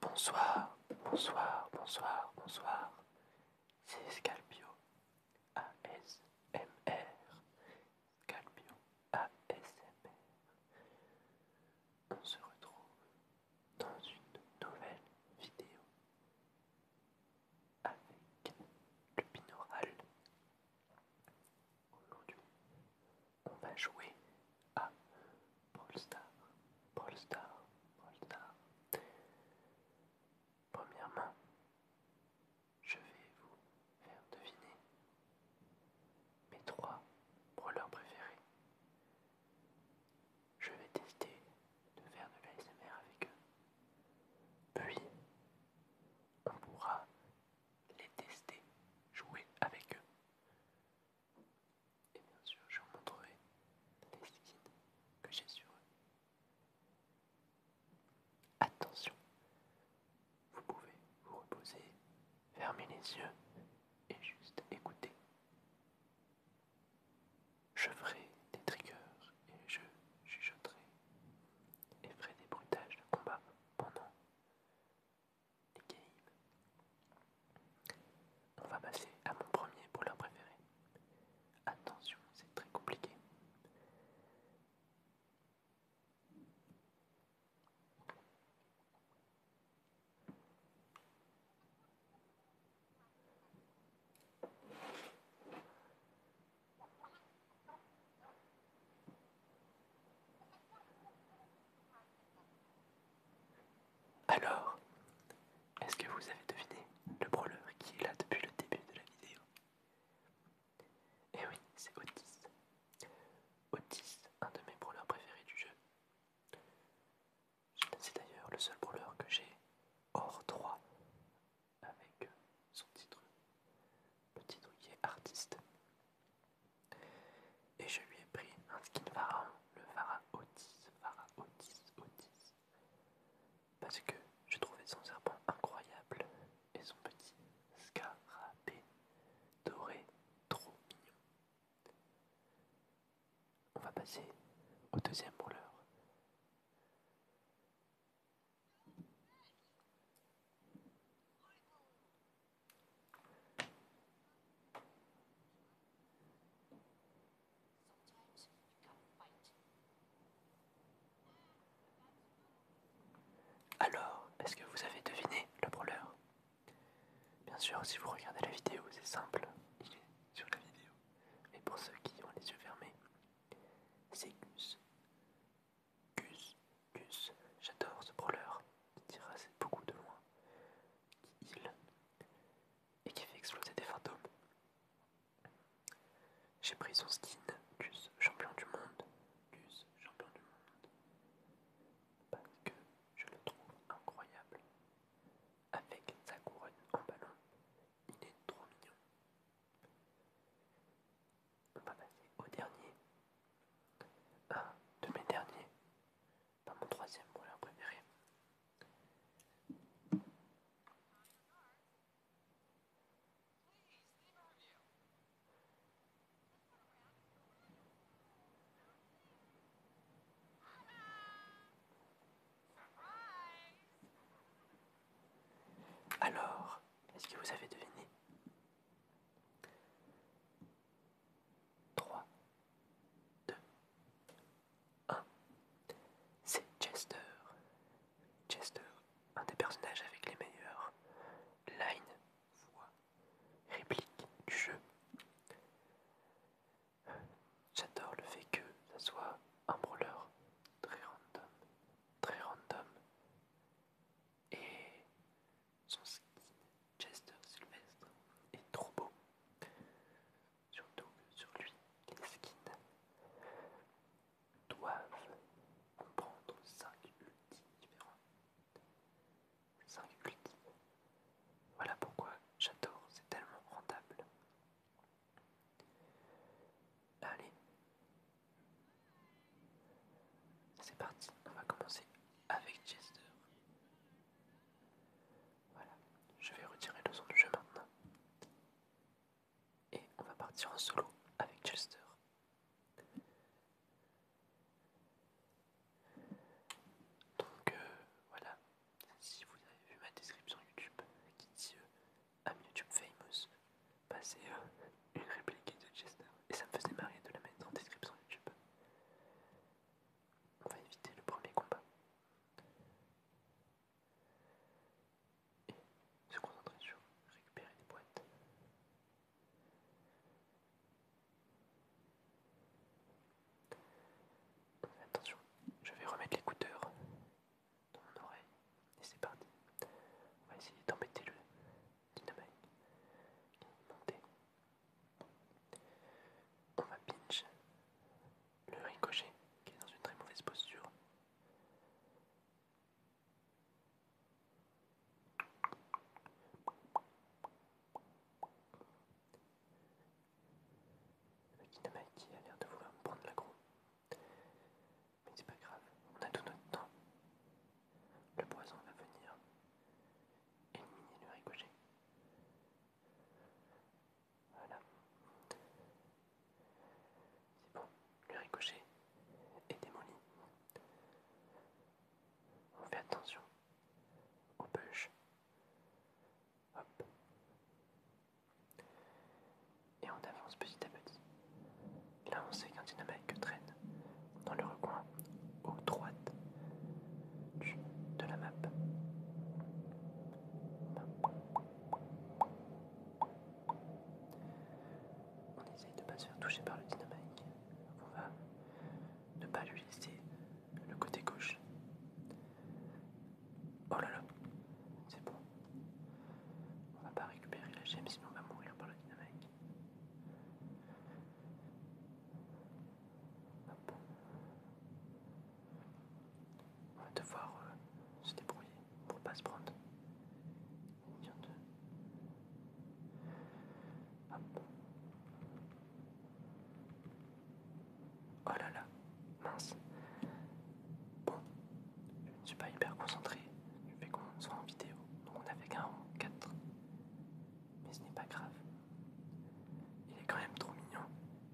Bonsoir, bonsoir, bonsoir, bonsoir. C'est Scalpio ASMR. Scalpio ASMR. On se retrouve dans une nouvelle vidéo avec le binaural. Aujourd'hui, on va jouer à Brawl Star, Brawl Star, je vais vous faire deviner mes trois brawlers préférés. Je vais tester de faire de l'ASMR avec eux. Puis, on pourra les tester, jouer avec eux. Et bien sûr, je vous montrerai les liquides que j'ai sur eux. Attention, vous pouvez vous reposer, fermer les yeux et juste écouter. Je ferai des triggers et je chuchoterai et ferai des bruitages de combat pendant on va passer à mon premier leur préféré. Attention, c'est très compliqué. Alors, est-ce que vous avez deviné le brawler qui est là depuis le début de la vidéo Eh oui, c'est Otis. Otis, un de mes brawlers préférés du jeu. C'est d'ailleurs le seul brawler que j'ai hors 3 avec son titre. Le titre est artiste. Et je lui ai pris un skin pharaon, le Vara Otis, Otis, Parce que je trouvais son serpent incroyable et son petit scarabée doré trop mignon. On va passer au deuxième roller. Alors, est-ce que vous avez deviné le brawler Bien sûr, si vous regardez la vidéo, c'est simple, il est sur la vidéo. Mais pour ceux qui ont les yeux fermés, c'est Gus. Gus, Gus, j'adore ce brawler qui tira assez beaucoup de loin, qui heal et qui fait exploser des fantômes. J'ai pris son skin, Gus, champion du monde. Gus, champion du monde. Parce que je le trouve incroyable. Avec sa couronne en ballon, il est trop mignon. On va passer au dernier. Un de mes derniers pas mon troisième volet préféré. Alors, est-ce que vous avez deviné 3, 2, 1. C'est Chester. Chester, un des personnages avec les meilleures lines, voix, répliques du jeu. J'adore le fait que ça soit un brawler très random, très random, et son skin Chester Sylvestre est trop beau. Surtout que sur lui, les skins doivent comprendre 5 ultis différents. 5 ultis. Voilà pourquoi j'adore, c'est tellement rentable. Allez, c'est parti, on va commencer avec Chester. Voilà, je vais retirer le son du jeu maintenant. Et on va partir en solo avec Chester. Donc euh, voilà, si vous avez vu ma description YouTube qui dit à euh, YouTube Famous, passer bah, euh, une réplique de Chester. Et ça me faisait marrer de la mettre en description YouTube. On va éviter le premier combat. Et se concentrer sur récupérer des boîtes. Attention, je vais remettre l'écouteur dans mon oreille et c'est parti. On va essayer d'embêter le dynamite qui on va pinch le ricochet qui est dans une très mauvaise posture. Le qui a l'air de vouloir me prendre l'aggro. Mais c'est pas grave, on a tout notre temps. Le poison va venir éliminer le ricochet. Voilà. C'est bon, le ricochet est démoli. On fait attention on push. Hop. Et on avance petit à petit. Là on sait qu'un dynamite que traîne dans le recoin au droite de la map. On essaye de ne pas se faire toucher par le dynamique. On va ne pas lui laisser le côté gauche. Oh là là, c'est bon. On va pas récupérer la gemme sinon on va mourir par le dynamique. On va devoir euh, se débrouiller pour pas se prendre. Ah oh là là, mince. Bon, je ne suis pas hyper concentré, je fais qu'on soit en vidéo, donc on a fait qu'un 4, mais ce n'est pas grave. Il est quand même trop mignon.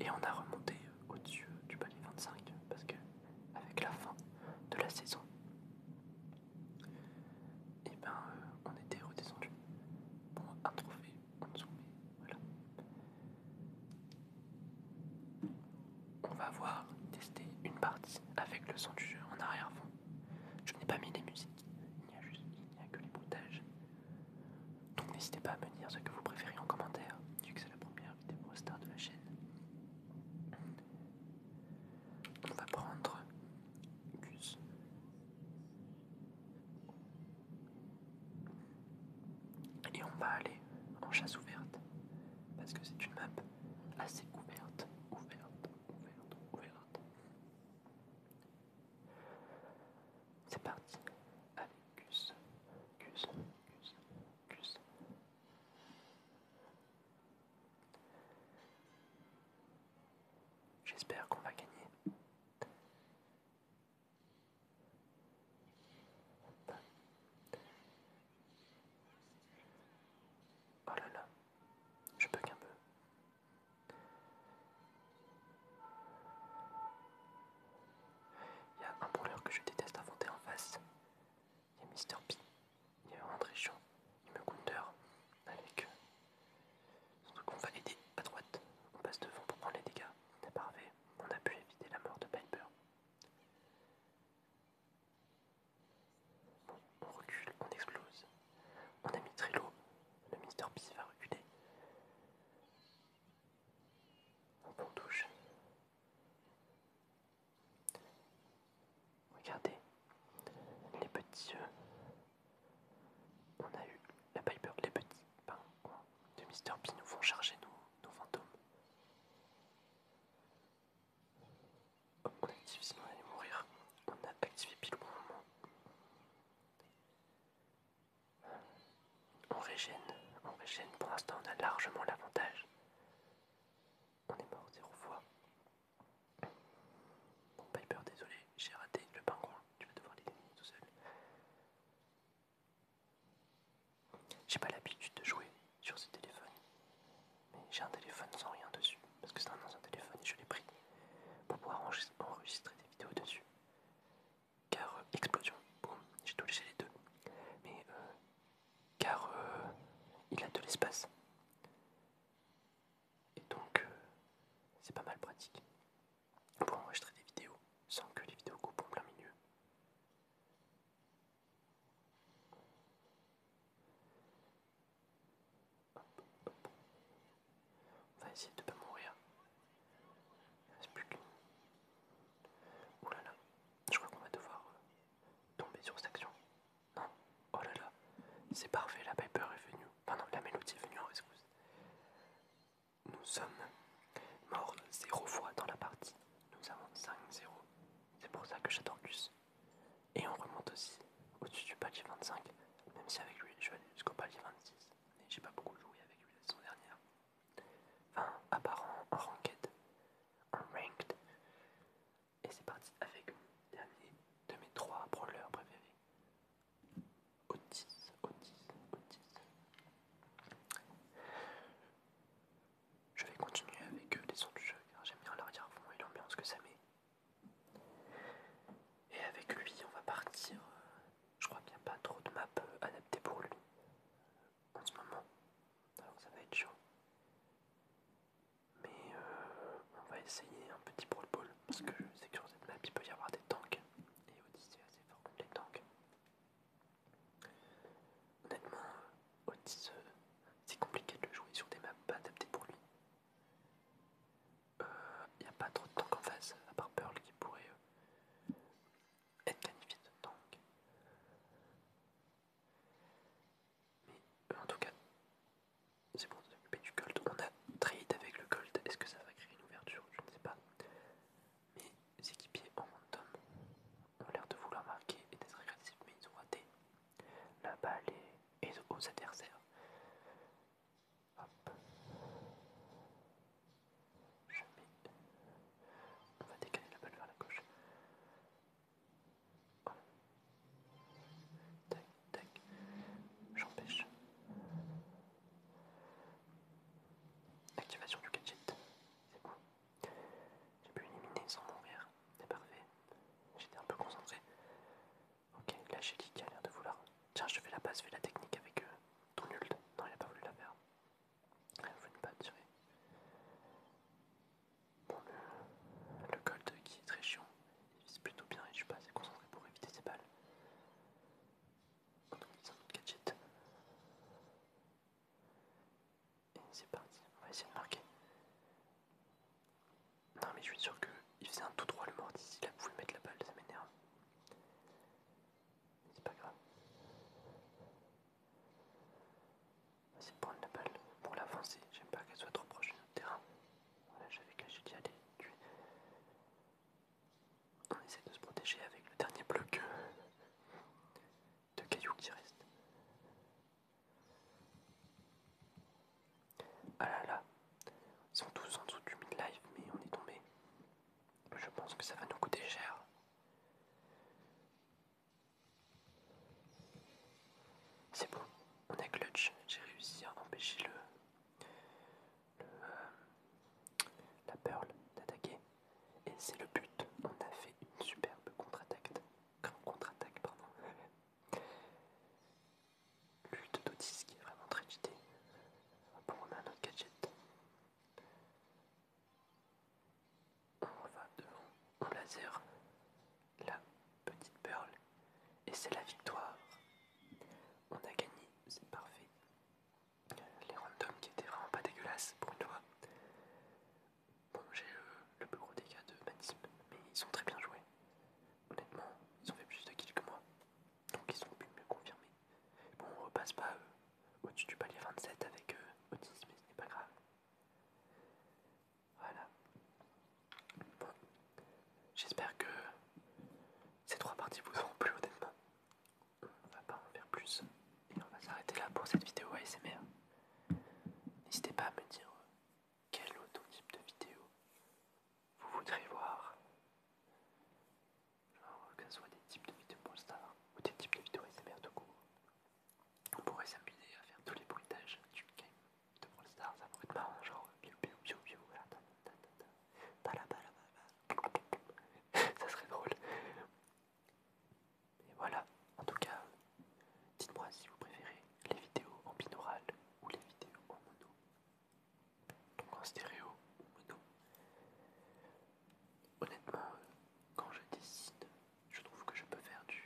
Et on a remonté au-dessus du palier 25 parce que avec la fin de la saison, et eh ben euh, on était redescendu. pour un trophée en dessous, mais voilà. On va voir tester une partie avec le son du jeu en arrière-fond. Je n'ai pas mis les musiques, il n'y a, a que les bruitages donc n'hésitez pas à me dire ce que vous préférez en commentaire, vu que c'est la première vidéo star de la chaîne. On va prendre Gus. Et on va aller en chasse ouverte. Parce que c'est une map assez ouverte, ouverte, ouverte, ouverte. C'est parti. Allez, Gus, Gus, Gus, Gus. J'espère qu'on va gagner. Oh là là, je peux un peu. Il y a un brûleur que je déteste inventer en face. Il y a Mr. P. Il y a un trichon. Il me counter avec euh, son On va l'aider à droite. On passe devant pour prendre les dégâts. Parfait. On a pu éviter la mort de Piper. Bon, on recule, on explose. On Mon ami Trilo, le Mister P va reculer. On touche. Regardez les petits On a eu la Piper, les petits pains de Mr. P nous font charger nos, fantômes. Comme on active sinon on allait mourir. On a activé pile au bon on régène, on régène. Pour l'instant, on a largement l'avantage. On est mort zéro fois. Bon, Piper, désolé, j'ai raté le pingouin. Tu vas devoir l'éliminer tout seul. J'ai pas l'habitude de jouer sur ce téléphone. Mais j'ai un téléphone sans rien dessus. Parce que c'est un ancien téléphone et je l'ai pris pour pouvoir enregistrer des vidéos dessus. Car euh, explosion. j'ai tout les deux. Mais euh, car euh, il a de l'espace. Et donc c'est pas mal pratique pour enregistrer des vidéos sans que les vidéos coupent en plein milieu. On va essayer de ne pas mourir. Il reste plus que Oh là là, je crois qu'on va devoir euh, tomber sur cette action. Non, oh là là, c'est parfait, la Piper est venue. Enfin la mélodie est venue en rescousse. Nous sommes morts 0 fois dans la partie. Nous avons 5-0. C'est pour ça que j'attends plus. Et on remonte aussi au-dessus du palier 25, même si avec lui je vais aller jusqu'au palier 26 j'ai pas beaucoup joué avec lui la saison dernière. Enfin, apparent, en, ranked, en ranked. Et c'est parti avec le dernier de mes trois brawlers préférés. Otis, Otis, Otis. Je vais continuer avec euh, les sons du jeu car j'aime bien l'arrière-fond et l'ambiance que ça met. Et avec lui, on va partir euh, je crois qu'il n'y a pas trop de maps euh, adaptées pour lui euh, en ce moment. Alors ça va être chiant. Mais euh, on va essayer un petit brawl ball parce que je sais que sur cette map il peut y avoir des tanks. Et Odyssey est assez fort contre les tanks. Honnêtement, Otis, c'est compliqué de le jouer sur des maps pas adaptées pour lui il n'y a pas trop de tanks en face, à part Pearl qui pourrait euh, être qualifié de tank. Mais euh, en tout cas, c'est bon de s'occuper du gold. On a trade avec le gold, est-ce que ça va créer une ouverture Je ne sais pas. Mais les équipiers en random ont l'air de vouloir marquer et d'être agressifs, mais ils ont raté la balle et aux adversaires. Hop. Je On va décaler la balle vers la gauche. Tac, tac. J'empêche. Activation du gadget. C'est bon. J'ai pu éliminer sans mourir. C'est parfait. J'étais un peu concentré. Ok, là j'ai qui a l'air de vouloir. Tiens, je fais la base, je fais la technique avec euh, ton ult. Non, il a pas voulu la faire. Il une patte pas tirer. Bon, le, le gold qui est très chiant, il vise plutôt bien et je suis pas assez concentré pour éviter ses balles. On utilise un gadget. Et c'est parti, on va essayer de marquer. Non mais je suis sûr que il faisait un tout droit le mort ici il a voulu mettre la balle, ça m'énerve. C'est pas grave. Vas-y, la balle pour l'avancer, j'aime pas qu'elle soit trop proche de notre terrain. Voilà, j'avais caché d'y aller. On essaie de se protéger avec le dernier bloc euh, de cailloux qui reste. Ah là là, ils sont tous en dessous du mid live mais on est tombé. Je pense que ça va nous coûter cher. C'est bon, on a clutch. J'ai réussi à empêcher le, le euh, la pearl d'attaquer. Et c'est le but. On a fait une superbe contre-attaque. Contre-attaque, pardon l'huile de qui est vraiment très Bon, On prendre un autre gadget. On va devant, un laser la petite perle et c'est la victoire. On a gagné, c'est parfait. Les randoms qui étaient vraiment pas dégueulasses pour une Bon, j'ai euh, le, plus gros dégât de Manisme, mais ils sont très bien joués. Honnêtement, ils ont fait plus de kills que moi. Donc ils sont plus mieux confirmés. Bon, on repasse pas euh, au-dessus du palier 27 avec autisme, euh, mais ce n'est pas grave. Voilà. Bon. J'espère que ces trois parties vous auront plu honnêtement. On va pas en faire plus. Et on va s'arrêter là pour cette vidéo ASMR. N'hésitez pas à me dire euh, quel autre type de vidéo vous voudrez voir. que ce soit des types de vidéos pour ou des types de vidéos SMR tout court. On pourrait s'amuser à faire tous les bruitages du game de Brawl Stars, ça pourrait être marrant, genre bio biou biou biou, voilà, ça serait drôle. Et voilà, en tout cas, dites-moi si vous préférez les vidéos en binaural ou les vidéos en mono donc en stéréo mono. Honnêtement, euh, quand je dessine, je trouve que je peux faire du,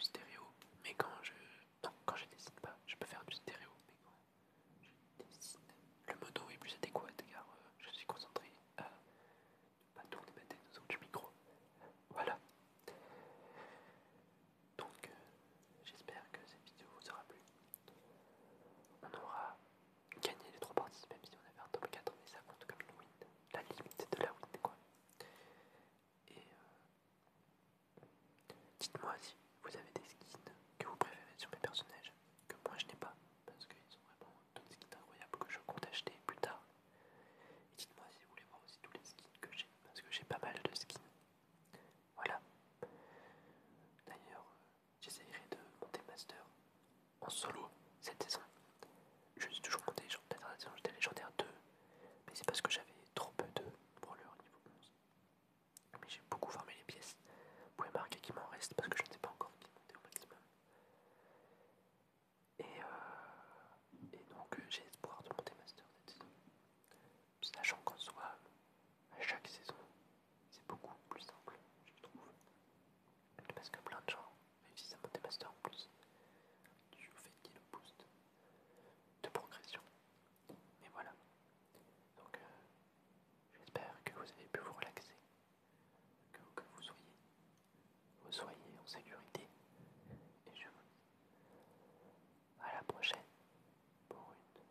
stéréo, mais quand je non, quand je dessine pas, je peux faire du stéréo, mais quand je dessine, le mono est plus adéquat car euh, je suis concentré à ne pas tourner ma tête son du micro. Voilà. Donc, euh, j'espère que cette vidéo vous aura plu on aura gagné les trois parties, même si on avait un top 4, mais ça compte comme une win, la limite de la win quoi. Et euh, dites-moi si vous avez des skins que vous préférez sur mes personnages, que moi je n'ai pas, parce qu'ils sont vraiment des skins incroyables que je compte acheter plus tard. Et dites-moi si vous voulez voir aussi tous les skins que j'ai, parce que j'ai pas mal de skins. Voilà. D'ailleurs, euh, j'essayerai de monter master en solo cette saison. Je suis toujours compté saison j'étais légendaire 2, mais c'est parce que j'avais trop peu de brawlers niveau 11. Mais j'ai beaucoup formé les pièces. Vous pouvez marquer qu'il m'en reste parce que je ne sais pas encore qui monter au maximum. Et, euh, donc euh, j'ai espoir de monter master cette saison. Sachant qu'en soit à chaque saison, c'est beaucoup plus simple, je trouve. Parce que plein de gens, réussissent si ça monte des en plus, du fait qu'il le boost de progression. Mais voilà. Donc euh, j'espère que vous avez pu vous relaxer, que, que vous soyez, vous soyez en sécurité. Et je vous dis à la prochaine pour une vidéo.